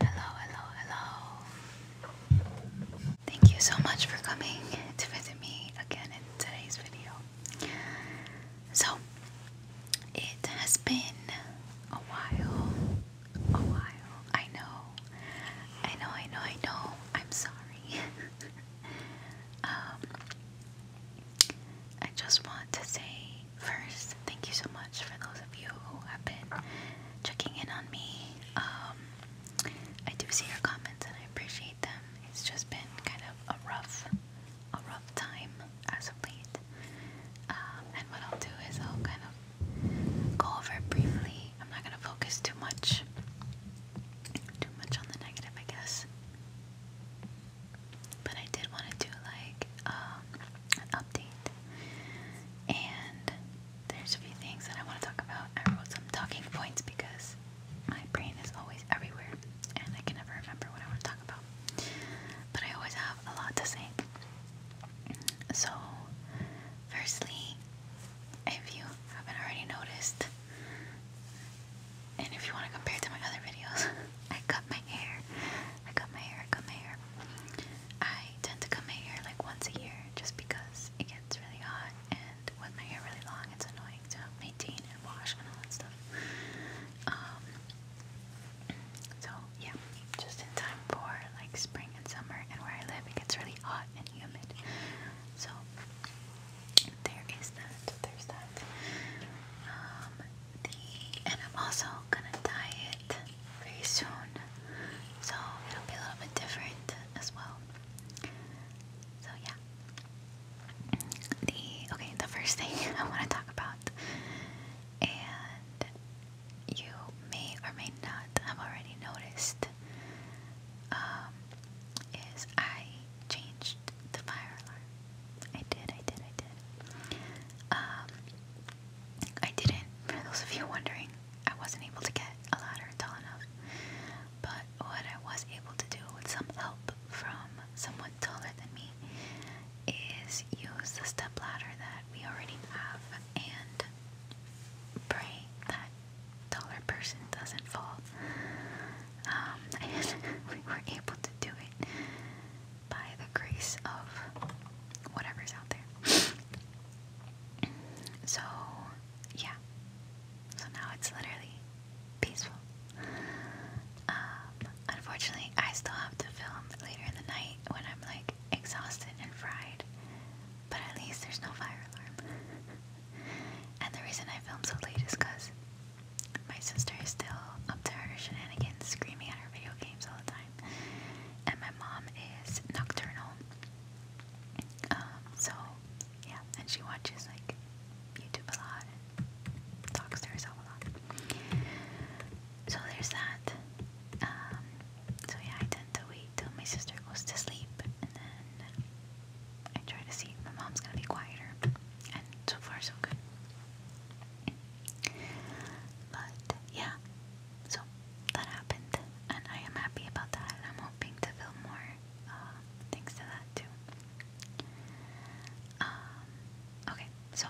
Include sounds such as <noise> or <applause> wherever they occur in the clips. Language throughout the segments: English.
Hello, hello, hello. Thank you so much for coming to visit me again in today's video. So, it has been a while. A while. I know. I know, I know, I know. I'm sorry. <laughs> um, I just want to say first, thank you so much for those of you who have been checking in on me. Um, I do see your comments and I appreciate them. It's just been kind of a rough, a rough time as of late. Um, and what I'll do is I'll kind of go over it briefly. I'm not gonna focus too much, too much on the negative, I guess. But I did want to do like um, update. And there's a few things that I want to talk about. I wrote some talking points because my brain is always everywhere and I can never remember what I want to talk about. But I always have a lot to say. So, firstly, if you haven't already noticed, and if you want to compare it to my other videos, <laughs> I cut my hair I cut my hair, cut my hair. I tend to cut my hair like once a year just because it gets really hot and with my hair really long it's annoying to maintain and wash and all that stuff. Um, so yeah, just in time for like spring and summer and where I live it gets really hot and humid. So there is that. There's that. Um, the and I'm also gonna dye it very soon, so it'll be a little bit different as well. So yeah. The okay, the first thing <laughs> I want to talk about, and you may or may not have already noticed, um, is I changed the fire alarm. I did, I did, I did. Um, I didn't, for those of you wondering, I wasn't able to get a ladder tall enough. But what I was able to do with some help from someone taller than me is use the step ladder that we already have and pray that taller person doesn't fall. Um, <laughs> we were able to do it by the grace of whatever's out there. so, yeah. So now it's literally peaceful. Um, unfortunately, I still have to film later in the night when I'm like exhausted and fried, but at least there's no fire alarm. and the reason I film so late is because my sister is still up to her shenanigans, screaming at her video games all the time. And my mom is nocturnal. Um, so yeah, and she watches like YouTube a lot and talks to herself a lot. So there's that. Um, so yeah, I tend to wait till my sister goes to sleep and then I try to see if my mom's gonna be quieter. And so far so good. But yeah, so that happened, and I am happy about that. I'm hoping to feel more uh, thanks to that too. Um, okay, so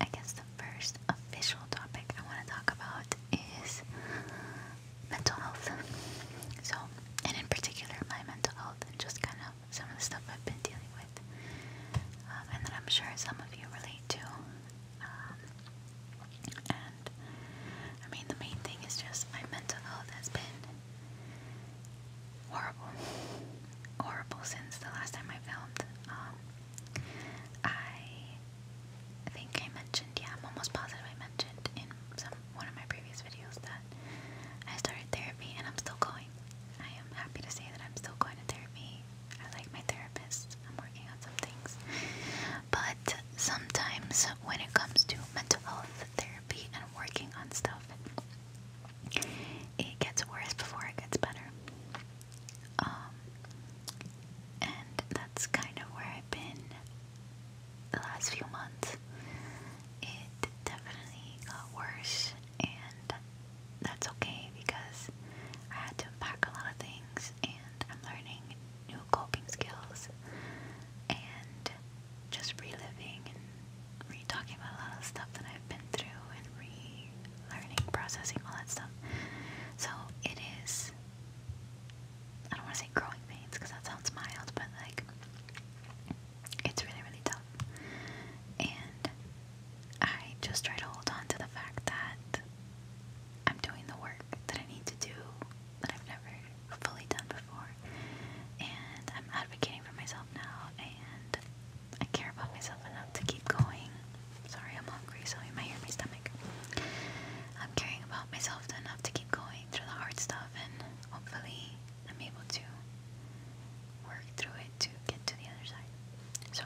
I guess the first official topic I want to talk about is mental health. So, and in particular, my mental health and just kind of some of the stuff I've been dealing with, um, and that I'm sure some of you relate to. Um, and I mean, the main thing is just my mental health has been horrible, horrible since the last time I filmed. Um, I think I mentioned, yeah, I'm almost positive I mentioned in some one of my previous videos that I started therapy and I'm still going. I am happy to say that I'm still going to therapy I like my therapist. I'm working on some things. But sometimes when it comes to mental health therapy and working on stuff, it gets worse before it gets better. Um, and that's kind of where I've been the last few months. It definitely got worse, and that's okay because I had to unpack a lot of things and I'm learning new coping skills and just reliving and re talking about a lot of stuff that I've been through and re learning, processing, all that stuff. So it is, I don't want to say growing pains because that sounds mild, but like it's really, really tough. And I just try to hold on to the fact that I'm doing the work that I need to do that I've never fully done before. And I'm advocating for myself now, and I care about myself enough to keep going. Sorry, I'm hungry, so you might hear my stomach. I'm caring about myself enough to keep going through the hard stuff, and hopefully, I'm able to work through it to get to the other side. So,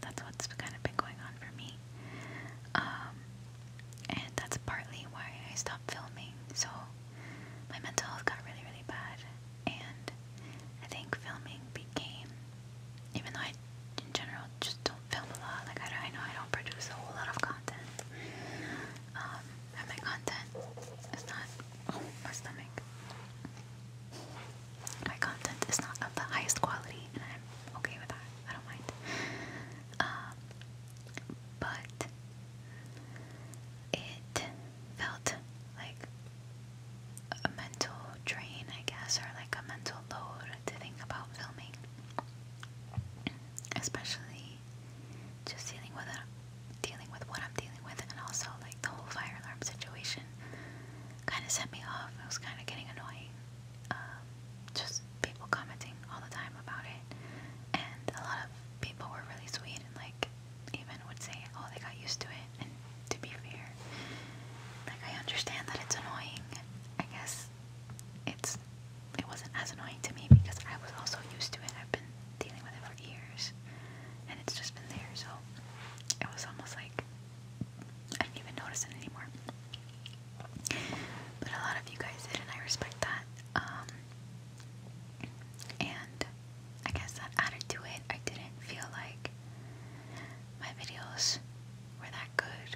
that's what's kind of been going on for me. Um, and that's partly why I stopped filming. So my mental health got really, really bad. And I think filming became, even though I in general just don't film a lot, like I, I know I don't produce a whole lot of content. Um, and my content is not, oh, my stomach. My content is not of the highest quality, and I'm okay with that. I don't mind. Um, but it felt like a mental drain, I guess, or like a mental load to think about filming, especially just dealing with it, dealing with what I'm dealing with, and also like the whole fire alarm situation kind of set me off. It was kind of getting annoying. Um, just people commenting all the time about it, and a lot of people were really sweet and like even would say, "Oh, they got used to it." And to be fair, like I understand that it's annoying. I guess it's it wasn't as annoying to me because I was also used to it. I've been dealing with it for years, and it's just been there. So it was almost like I did not even notice it anymore. But a lot of you guys did, and I respect that. Um, and I guess that added to it. I didn't feel like my videos were that good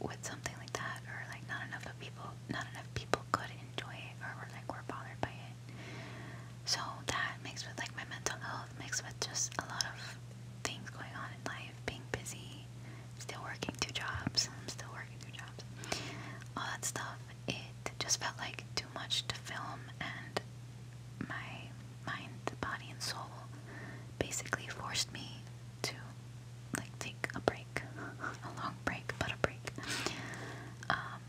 with something like that, or like not enough of people, not enough people could enjoy it, or were like were bothered by it. So that mixed with like my mental health, mixed with just a lot of things going on in life, being busy, still working two jobs, I'm still working two jobs, all that stuff, it just felt like too much to film and my mind, body, and soul basically forced me to like take a break, <laughs> a long break, but a break. Um,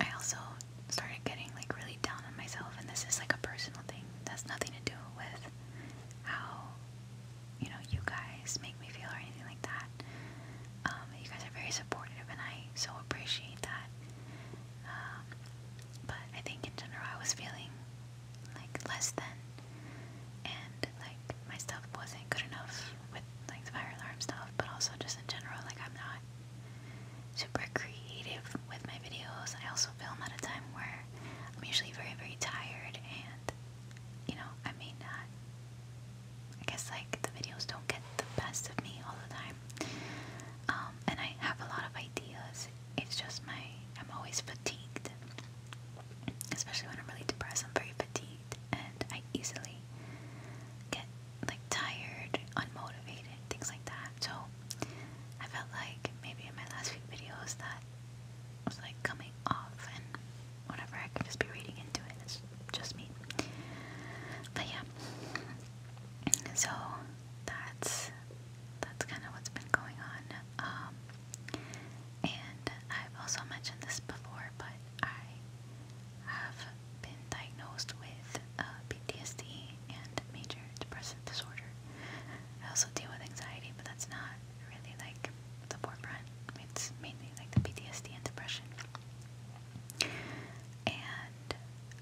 I also started getting like really down on myself, and this is like a personal thing that's nothing to do with how you know you guys make me feel or anything like that. Um, you guys are very supportive, and I so appreciate that. Um, but I think in general, I was feeling like less than, and like my stuff wasn't good enough with like the fire alarm stuff, but also just in general, like I'm not super creative with my videos. I also film at a time where I'm usually very, very tired and, you know, I may not, I guess like the videos don't get the best of me all the time. Um, and I have a lot of ideas. It's just my, I'm always fatigued. Especially when I'm really depressed, I'm very fatigued and I easily get like tired, unmotivated, things like that. So I felt like maybe in my last few videos that was like coming off and whatever, I could just be reading into it. It's just me. But yeah. So that's that's kind of what's been going on. Um, and I've also mentioned this before, but I have been diagnosed with uh, PTSD and major depressive disorder. I also deal with anxiety, but that's not really like the forefront. It's mainly like the PTSD and depression. And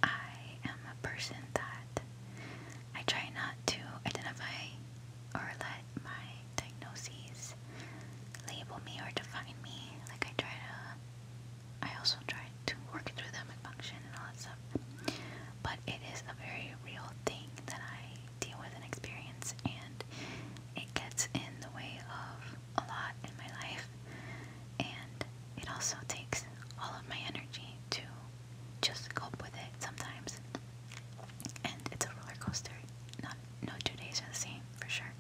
I am a person that I try not to identify or let my diagnoses label me or define me. Like I try to I also try to work through them and function and all that stuff. But it is a very real thing that I deal with and experience, and it gets in the way of a lot in my life. And it also takes all of my energy to just cope with it sometimes. And it's a roller coaster. Not no two days are the same for sure.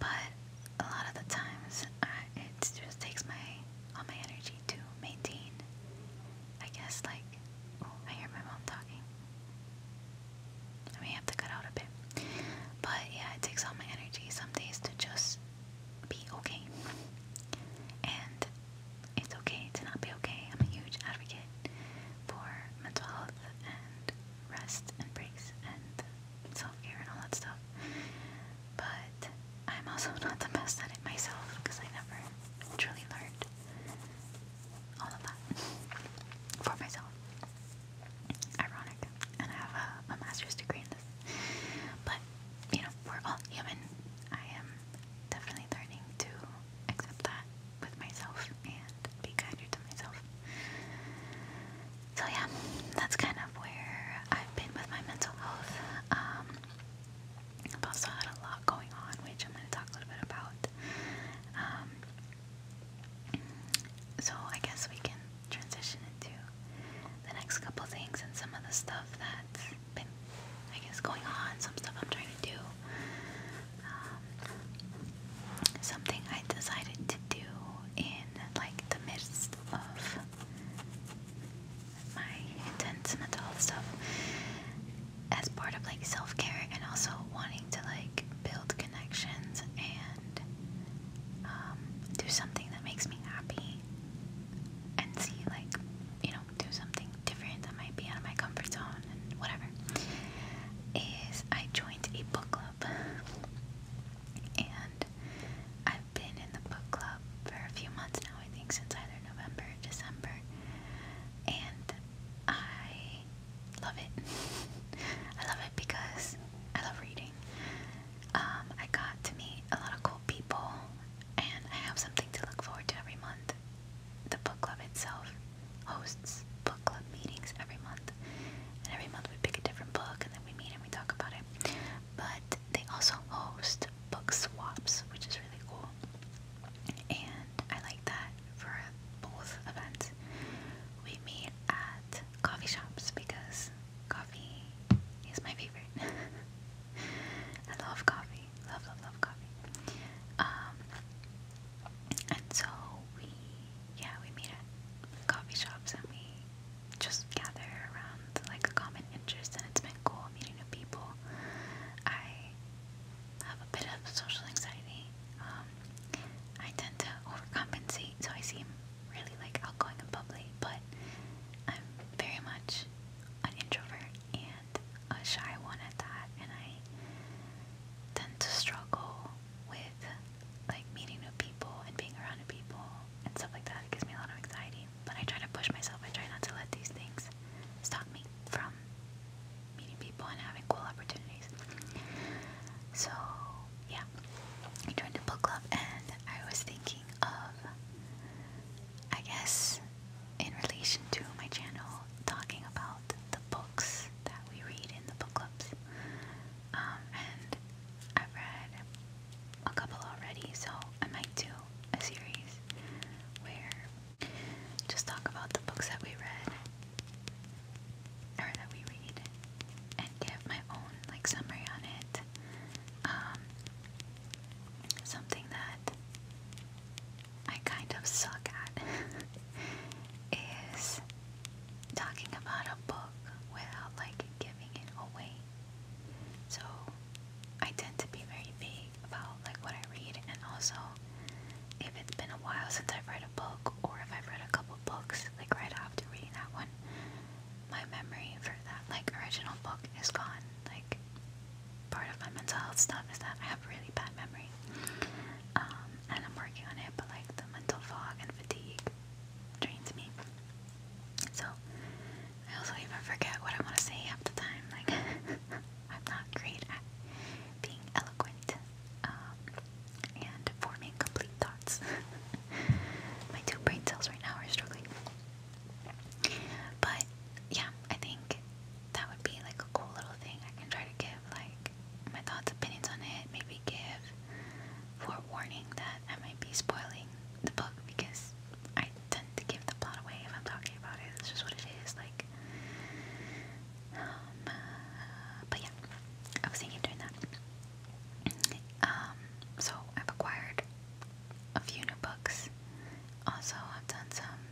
But a lot of the times it just takes my all my energy to maintain. I guess like I hear my mom talking. I may have to cut out a bit, but yeah, it takes all my energy some days to just be okay, and it's okay to not be okay. I'm a huge advocate for mental health and rest and breaks and self-care and all that stuff. But I'm also <laughs> not the best at it myself because I never truly learned all of that <laughs> for myself. Ironic. And I have a, master's degree in this. But, you know, we're all human. I am definitely learning to accept that with myself and be kinder to myself. So yeah, that's kind of where I've been with my mental health. Um, I've also had a lot going on, which I'm going to talk a little bit about. Um, so I guess we can transition into the next couple things and some of the stuff that's been, I guess, going on, some stuff I'm trying to do. Um, something I decided to do in like the midst of my intense mental health stuff as part of like self care and also wanting to like build connections and um, do something that makes me happy and see like you know do something different that might be out of my comfort zone and whatever is I joined a book club and I I've been in the book club for a few months now, I think since either November or December, and I love it. <laughs> I love it because I love reading. Um, I got to meet a lot of cool people, and I have something to look forward to every month. The book club itself hosts book club meetings every month, and every month we pick a different book and then we meet and we talk about it but they also host book swaps, which is really cool. And I like that for both events. We meet at coffee shops because coffee is my favorite. <laughs> I love coffee. Love, love, love coffee. Um, and so we, yeah, we meet at coffee shops and we just gather around like a common interest, and it's been cool meeting new people. I have a bit of social anxiety. Um, I tend to overcompensate, so I seem really like outgoing and bubbly, but I'm very much an introvert and a shy one at that, and I tend to struggle with like meeting new people and being around new people and stuff like that. It gives me a lot of anxiety. But I try to push myself. I try not to let these things stop me from meeting people and having cool opportunities. So, yeah. I joined a book club and I was thinking of, I guess, in relation to my channel, talking about the books that we read in the book clubs. Um, and I've read a couple already, so I might do a series where just talk about the books that we read or that we read and give my own like summary on it. Um, something that I kind of suck at <laughs> is talking about a book without like giving it away. So I tend to be very vague about like what I read and also if it's been a while since I've read a book or if I've read a couple books like right after reading that one, my memory for that like original book is gone. Like part of my mental health stuff is that I have really bad memory. Um, and I'm working on it, but like the mental fog and fatigue drains me. So I also even forget what I want to say half the time. Like <laughs> I'm not great at being eloquent um, and forming complete thoughts. <laughs> My two brain cells right now are struggling. But yeah, I think that would be like a cool little thing. I can try to give like my thoughts, opinions on it. Maybe give forewarning that I might be spoiling the book because I tend to give the plot away if I'm talking about it. It's just what it is, like. Um, uh, but yeah, I was thinking of doing that. Um, so I've acquired a few new books. Also, I've done some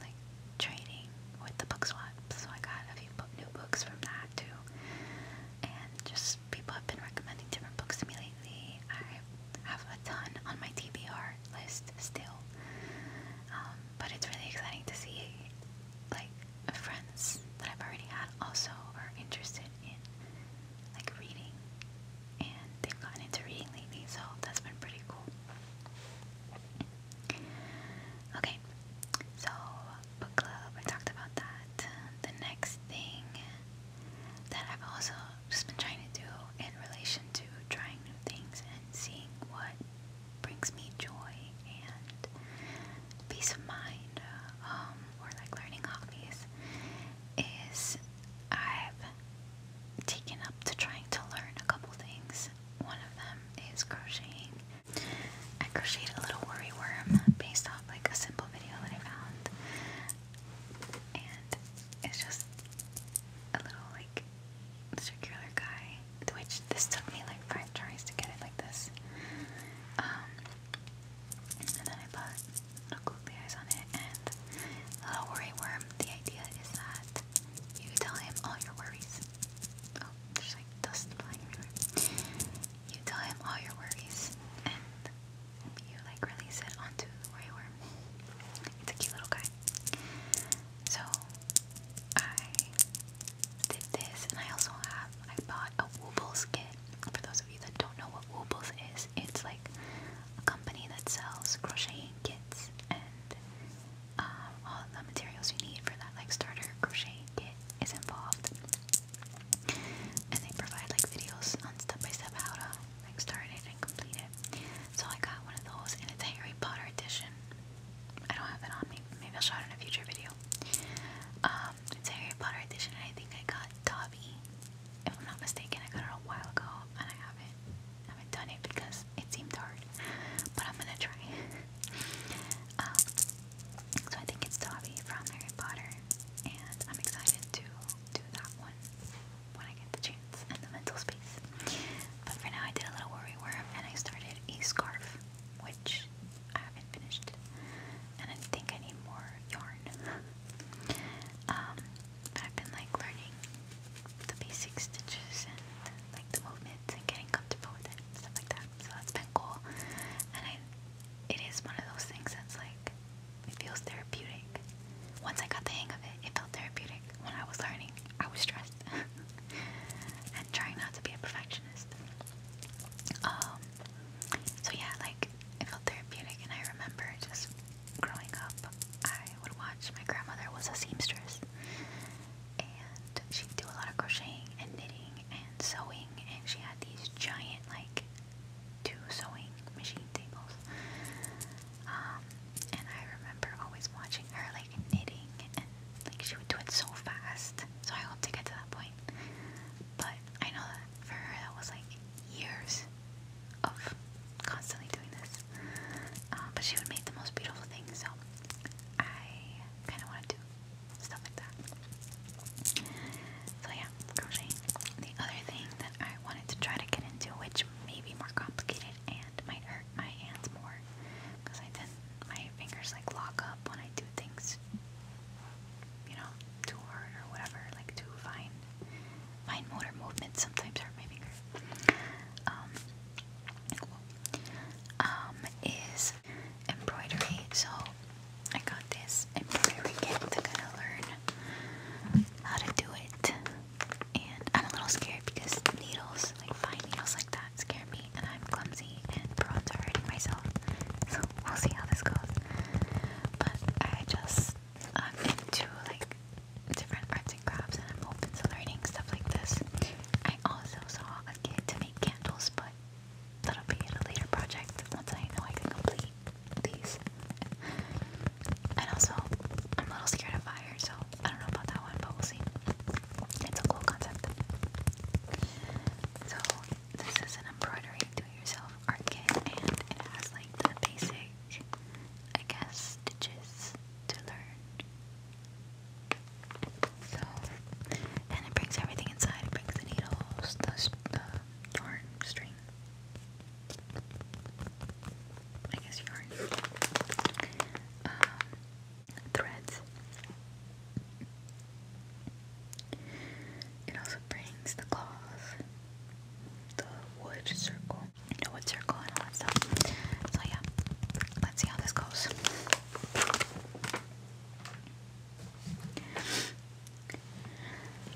like trading with the book swap, so I got a few new books from that too, and just People have been recommending different books to me lately. I have a ton on my TBR list still, um, but it's really exciting to see like friends that I've already had also are interested in like reading, and they've gotten into reading lately, so that's been pretty cool. Okay, so book club. I talked about that. The next thing that I've also just been trying to do in relation to trying new things and seeing what brings me joy and peace of mind, uh, um, or like learning hobbies, is I've taken up to trying to learn a couple things. One of them is crocheting. I crocheted a little worry worm based like a simple video that I found, and it's just a little like circular guy. Which this took me like five tries to get it like this. Um, and then I put googly eyes on it and a little worry worm. The idea is that you tell him all your worries. Oh, there's like dust flying You tell him all your worries and you like release it onto the worm. It's a cute little guy. So I did this, and I also have I bought a Woobles kit. For those of you that don't know what Woobles is, it's like a company that sells crocheting kits and um, all the materials you need for that like starter crochet kit is involved and they provide like videos on step by step how to start it and complete it. So I got one of those, and it's Harry Potter edition. I don't have it on me. Maybe I'll show it in a future video. Um, it's Harry Potter edition, and I think I got Dobby, if I'm not mistaken. I got it a while ago, and I haven't haven't done it because it seemed hard. But I'm gonna try. <laughs> Um, so I think it's Dobby from Harry Potter, and I'm excited to do that one when I get the chance and the mental space. But for now, I did a little worry worm, and I started a scarf, which I haven't finished, and I think I need more yarn. um, I've been like learning the basic stitches and like the movements and getting comfortable with it and like that. So that's been cool, and I it is one of those things that's like it feels therapeutic. Once I got the hang of it, it felt therapeutic. When I was learning, I was stressed <laughs> and trying not to be a perfectionist. Um, so yeah, like it felt therapeutic, and I remember just growing up, I would watch. My grandmother was a seamstress, and she'd do a lot of crocheting and knitting and sewing, and she had these giant like two sewing machine tables. Um, and I remember always watching her like knitting and like she would do it so fast. So I hope to get to that point. But I know that for her that was like years of constantly doing this. Uh, but she would make the most beautiful things so I kinda wanna do stuff like that. So yeah, crochet. The other thing that I wanted to try to get into, which may be more complicated and might hurt my hands more, because I tend my fingers like lock up when I do things, you know, too hard or whatever, like too fine, fine motor movements sometimes hurt my fingers. Um, um, is embroidery. So I got this embroidery kit to kind of learn how to do it. And I'm a little scared because needles, like fine needles like that, scare me, and I'm clumsy and prone are hurting myself. So we'll see how this goes. But I just I'm into like different arts and crafts, and I'm open to learning stuff like this. I also saw a kit to make candles, but that'll be in a later project once I know I can complete these. And also, I'm a little scared of fire, so I don't know about that one, but we'll see. It's a cool concept. So, this is an embroidery do-it-yourself art and it has like the basic, I guess, stitches to learn. So, and it brings everything inside. It the needles, the, the yarn string. I guess yarn. Um, threads. It also brings the claws, the wood circle, the wood circle, and all stuff. So, yeah, let's see how this goes.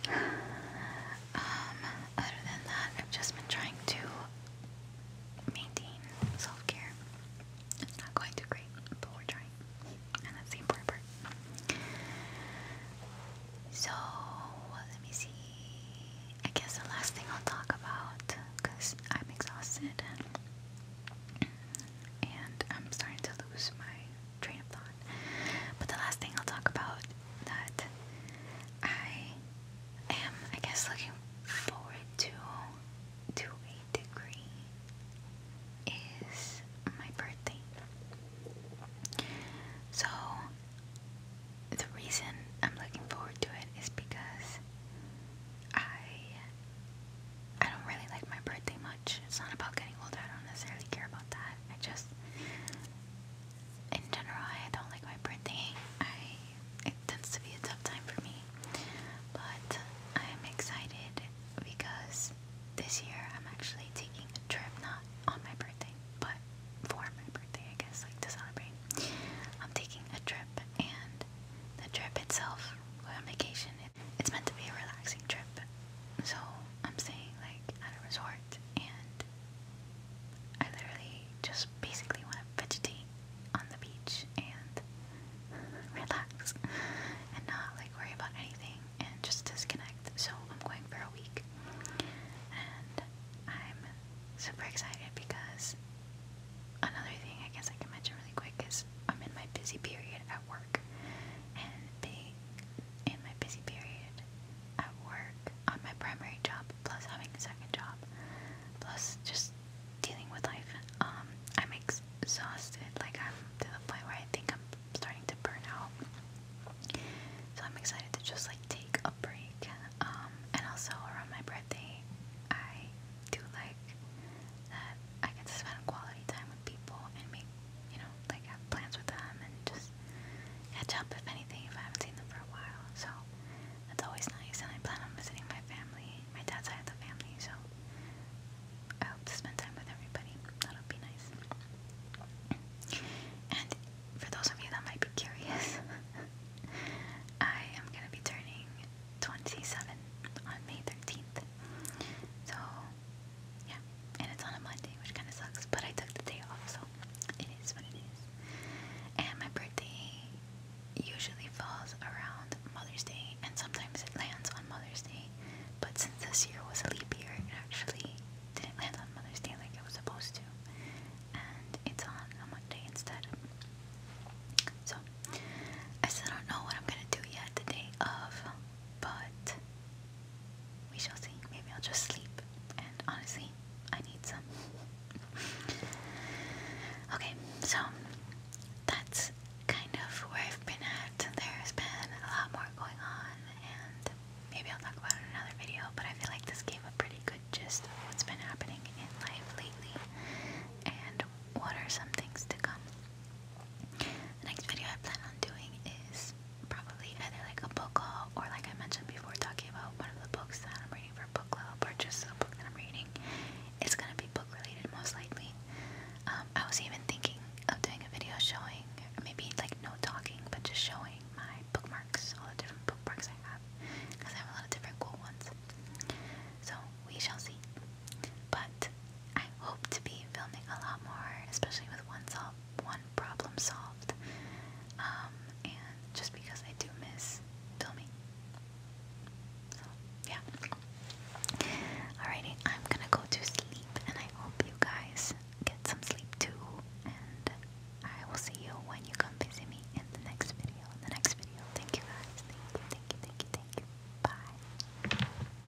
Um, other than that, I've just been trying to maintain self care. It's not going too great, but we're trying. And that's the important part. So, let me see. I guess the last thing I'll talk about, because I'm exhausted and I'm starting to lose my train of thought. But the last thing I'll talk about that I am, I guess, looking forward to to a degree is my birthday. So the reason I'm looking forward to it is because I I don't really like my birthday much. It's not about getting older. I don't necessarily care about that. I just, in general, I don't like my birthday. I it tends to be a tough time for me. But I am excited because this year I'm actually taking a trip, not on my birthday, but for my birthday, I guess, like to celebrate. I'm taking a trip, and the trip itself, on vacation, it's meant to be a relaxing trip. So I'm staying like at a resort and I literally just basically want to vegetate on the beach and <laughs> relax and not like worry about anything and just disconnect. So I'm going for a week and I'm super excited because another thing I guess I can mention really quick is I'm in my busy period at work. And being in my busy period at work on my primary job, plus having a second job, plus just dealing with life, um, I'm exhausted. Like, I'm to the point where I think I'm starting to burn out. So, I'm excited to just like take a break. Um, and also, around my birthday, I do like that I get to spend quality time with people and make you know, like have plans with them and just catch up if anything if I haven't seen them for a while. So that's always nice. And I plan on visiting my family, my dad's side of the family. So I hope to spend time with everybody. That'll be nice. And for those of you that might be curious, <laughs> I am gonna be turning 27 on May 13th. So yeah, and it's on a Monday, which kind of sucks. But I took the day off, so it is what it is. And my birthday usually falls around Mother's Day, and sometimes it lands on Mother's Day. But since this year was a leap year, it actually didn't land on Mother's Day like it was supposed to, and it's on a Monday instead. So I still don't know what I'm gonna do yet the day of, but we shall see. Maybe I'll just sleep. And honestly, I need some. <laughs> okay, so that's kind of where I've been at. There's been a lot more going on, and maybe I'll talk about it in another video, but I feel like this gave a pretty good gist of what's been happening in life lately and what are some things to come. The next video I plan on doing is probably either like a book haul or like I mentioned before talking about one of the books that I'm reading for book club or just a book that I'm reading. It's gonna be book related most likely. Um, I was even thinking of doing a video showing maybe like no talking but just showing my bookmarks, all the different bookmarks I have because I have a lot of different cool ones. So we shall see. But I hope to be filming a lot more, especially with one solved, one problem solved, um, and just because I do miss filming. So yeah. Alrighty, I'm gonna go to sleep, and I hope you guys get some sleep too. And I will see you when you come visit me in the next video. In the next video. Thank you guys. Thank you. Thank you. Thank you. Thank you. Bye.